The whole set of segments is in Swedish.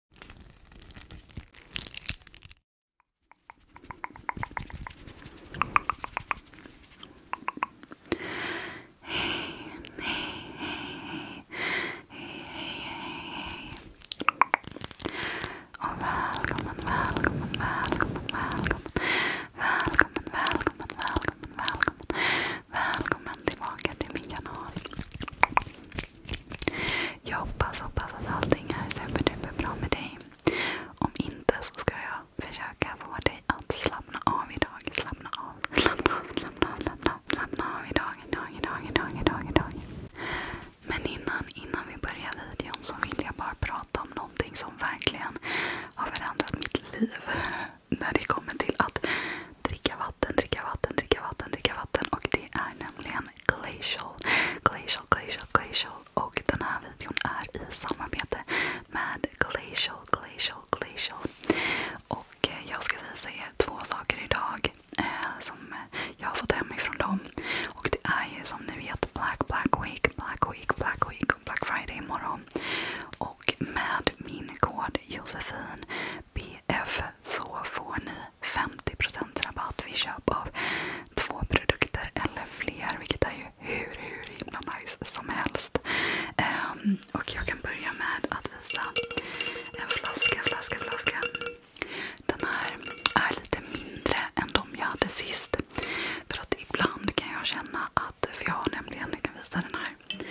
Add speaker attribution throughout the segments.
Speaker 1: Hej, hej, hej, hej, hej, hej, Och välkommen, välkommen, välkommen, välkommen, välkommen, välkommen, välkommen, välkommen, välkommen tillbaka till min kanal. Jag hoppas, hoppas att allting är superduper med dig. Om inte så ska jag försöka få dig att slappna av idag. Slappna av, slappna av, slappna av, slappna av, idag, idag, idag, idag, idag, Men innan vi börjar videon så vill jag bara prata om någonting som verkligen har förändrat mitt liv. När det kommer till att dricka vatten, dricka vatten, dricka vatten, dricka vatten. Och det är nämligen Glacial, Glacial, Glacial, Glacial. Och den här videon är i samarbete med Glacial, Glacial, Glacial. Och eh, jag ska visa er två saker idag eh, som jag har fått hem ifrån dem. Och det är ju som ni vet Black Black Week, Black Week, Black Week och Black Friday imorgon. Och med min kod Josefin BF så får ni 50% rabatt vid köp av två produkter eller fler. Vilket är ju hur, hur himla nice som helst. Um, och jag kan börja med att visa en flaska, flaska, flaska. Den här är lite mindre än de jag hade sist. För att ibland kan jag känna att, för jag har nämligen, jag kan visa den här här.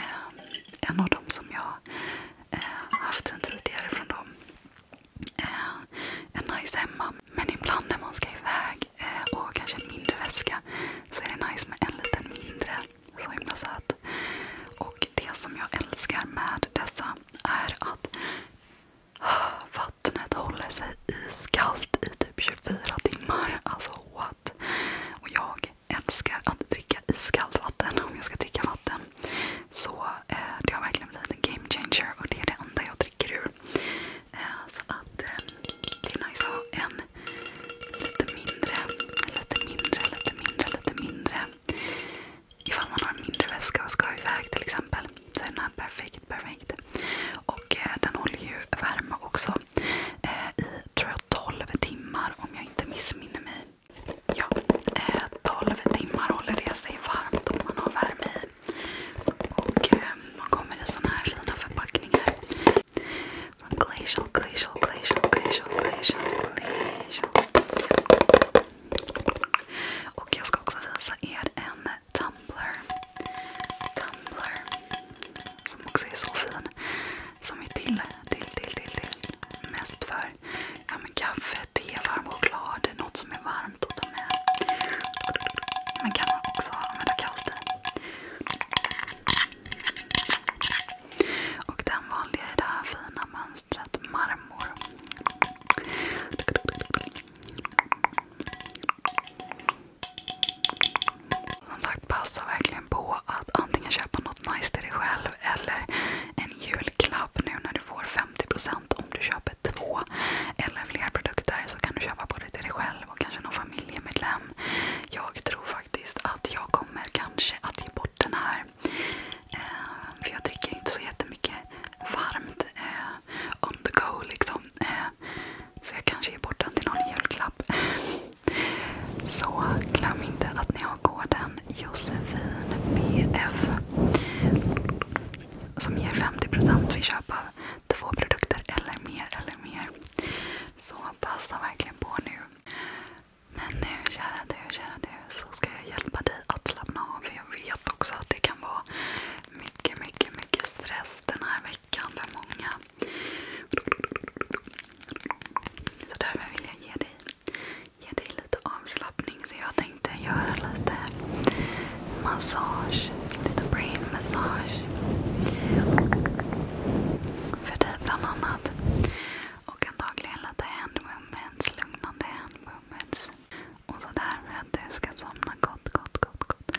Speaker 1: Eh, en av dem som jag eh, haft sen tidigare från dem eh, är nice hemma. Men ibland när man ska iväg eh, och kanske en mindre väska så är det nice med en liten mindre. Så himla söt. Och det som jag älskar med dessa är att ah, Vattnet håller sig iskallt i typ 24 timmar. Alltså what? Och jag jag älskar att dricka iskallt vatten om jag ska dricka vatten. Så eh, det har verkligen blivit en game changer och det är det enda jag dricker ur. Eh, så att eh, det är nice att ha en lite mindre, lite mindre, lite mindre, lite mindre. Ifall man har en mindre väska och ska iväg till exempel så är den här perfekt, perfekt. Och eh, den håller ju värme också. Eh, i tror jag 12 timmar om jag inte missminner mig. Ja, 12 eh, timmar håller det sig varmt om man har värme i. Och eh, de kommer i såna här fina förpackningar. glacial, glacial, glacial, glacial, glacial, glacial. Och jag ska också visa er en tumbler. Tumbler som också är så fin. Som är till, till, till, till, till. Mest för ja, men kaffe, te, varm choklad, något som är varmt att ta med. Men kan man också använda kallt i. Och den vanliga är det här fina mönstret marmor. Som sagt, passa verkligen på att antingen köpa något nice till dig själv eller en julklapp nu när du får 50% om du köper två eller fler produkter så kan du köpa både till dig själv och kanske någon familjemedlem. Jag tror faktiskt att jag kommer kanske att ge bort den här. Eh, för jag dricker inte så jättemycket varmt eh, on the go liksom. Eh, så jag kanske ger bort den till någon julklapp. Så glöm inte att ni har koden JOSEFINBF som ger 50% vid köp av två produkter eller mer eller mer. Så passa verkligen på nu. Men nu kära du, kära du, så ska jag hjälpa dig att slappna av. För jag vet också att det kan vara mycket, mycket, mycket stress den här veckan veckan för många. Så därför vill jag ge dig, ge dig lite avslappning. Så jag tänkte göra lite massage. Lite brain massage. För dig bland annat. Och antagligen lite hand movements, lugnande hand movements. Och så där för att du ska somna gott, gott, gott, gott.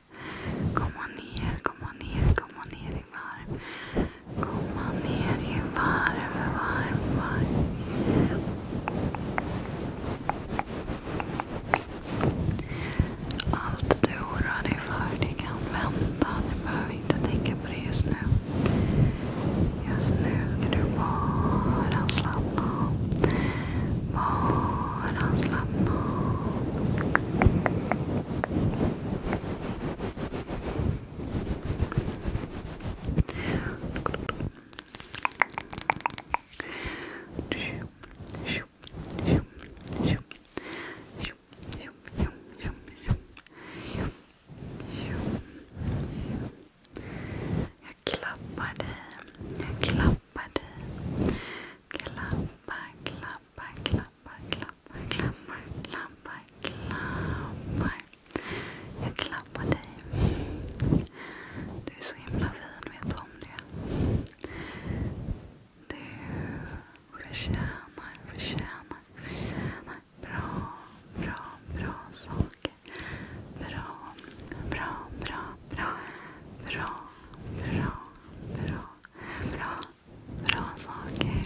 Speaker 1: Komma ner, komma ner, komma ner i varv. Komma ner i varv, varv, varv. Allt du oroar dig för, kan vänta. Du behöver inte tänka på det just nu. Just nu ska du bara slappna av. Bara slappna av. Jag klappar dig. Jag klappar klappar dig. Klappar, klappar, klappar, klappar, klappar, klappar, klappar. Jag klappar dig. Du är så himla fin, vet du om det? Du förtjänar, förtjänar, förtjänar bra, bra, bra saker. Bra, bra, bra, bra, bra, bra bra, bra, bra saker.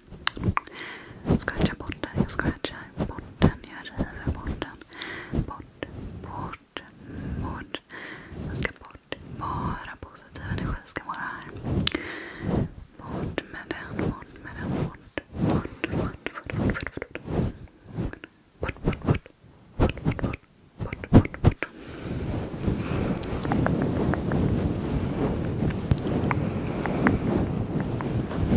Speaker 1: Jag scratchar bort den, jag scratchar bort den, jag river bort den. Bort, bort, bort. Den ska bort. Bara positiv energi ska vara här. Bort med den, bort med den, bort. Bort, bort, bort, bort, bort. bort. Bort, bort, bort. Bort, bort, bort. Bort, bort, bort.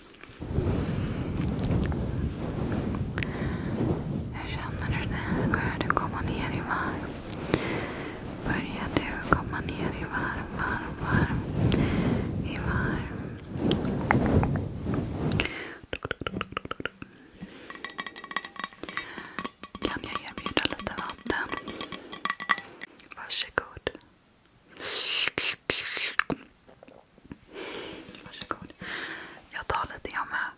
Speaker 1: Hur känner du dig? Börjar du komma ner i varv? Börjar du komma ner i varv, varv, varv? I varv. Kan jag erbjuda lite vatten? Varsågod. Varsågod. Jag tar lite jag med.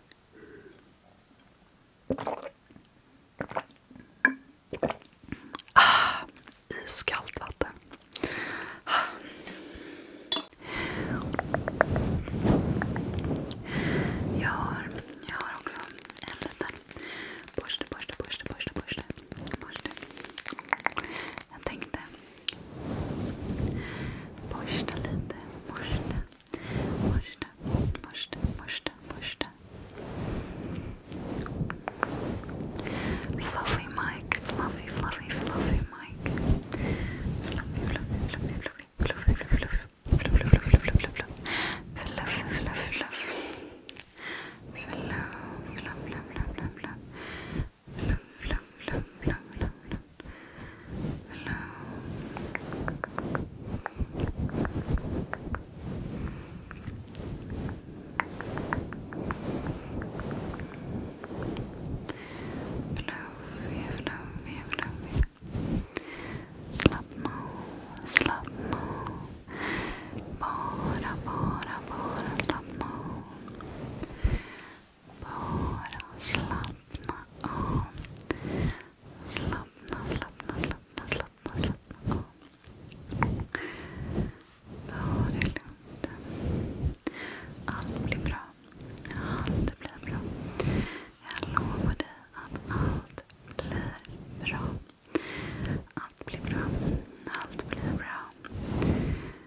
Speaker 1: Ah, iskallt vatten. Ah. Jag har, jag har också en liten borste, borste, borste, borste, borste. Jag tänkte Borsta lite. Borsta. Borsta. Borsta. Borsta. Borsta. Fluffy Mike. Fluffy, fluffy, fluffy Mike. Fluffy, fluffy, fluffy, fluffy. Fluffy, fluffy, fluffy. Fluff, fluff, fluff, fluff, fluff, fluff. Fluff, fluff, fluff, fluff. Fluff, fluff, fluff, fluff. Lugn, lugn, lugn, lugn, lugn. Fluffig, fluffig, fluffig. Slappna av, slappna av. Bara, bara, bara slappna av. Bara slappna av. Slappna, slappna, slappna, slappna, slappna av. Ta det lugnt. Allt blir bra. Allt blir bra. Jag lovar dig att allt blir bra. Allt blir bra. Allt blir bra.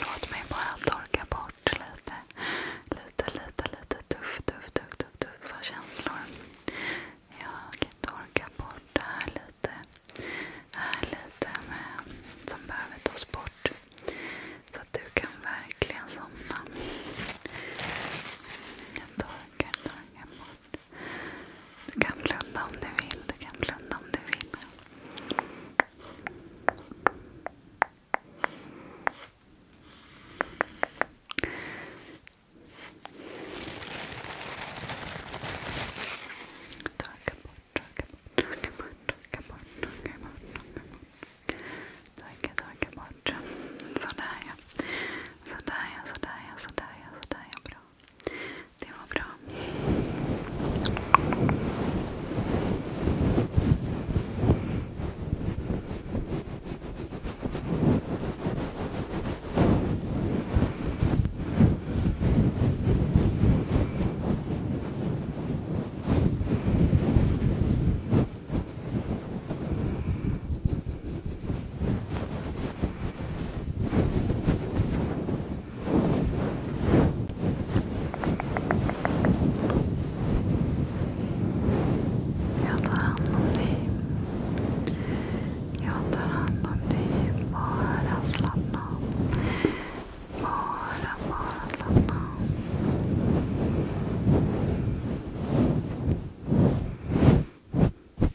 Speaker 1: Låt mig bara torka bort lite, lite, lite, tuffa känslor. Jag torkar bort det här lite. lite som behöver tas bort. Så att du kan verkligen somna. Jag torkar, torkar bort. Du kan blunda om du vill. Du kan blunda om du vill. Torka bort, torka bort, torka bort, torka bort, torka bort, torka Torka, bort. Sådär ja. Sådär ja, sådär Bra. Det var bra. Okej, jag tar hand om dig. Jag tar hand om dig. Bara slappna Bara, bara slappna jag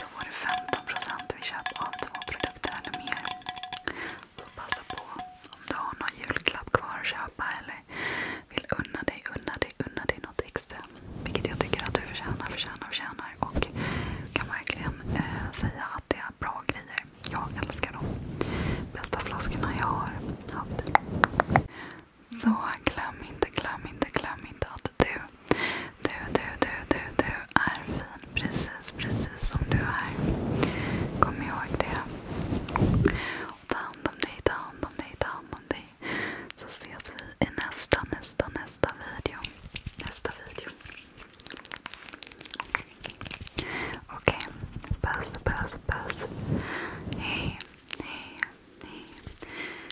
Speaker 1: så får du 15% vid köp av två produkter eller mer. Så passa på om du har någon julklapp kvar att köpa eller vill unna dig, unna dig, unna dig något extra. Vilket jag tycker att du förtjänar, förtjänar, förtjänar. Och kan verkligen eh, säga att det är bra grejer. Jag älskar dem. Bästa flaskorna jag har haft. Så glöm inte, glöm inte, glöm inte att du, du, du, du, du, du är fin precis, precis som du är. Kom ihåg det. Och ta hand om dig, ta hand om dig, ta hand om dig. Så ses vi i nästa, nästa, nästa video. Nästa video. Okej. Okay. Puss, puss, puss. Hej, hej, hej.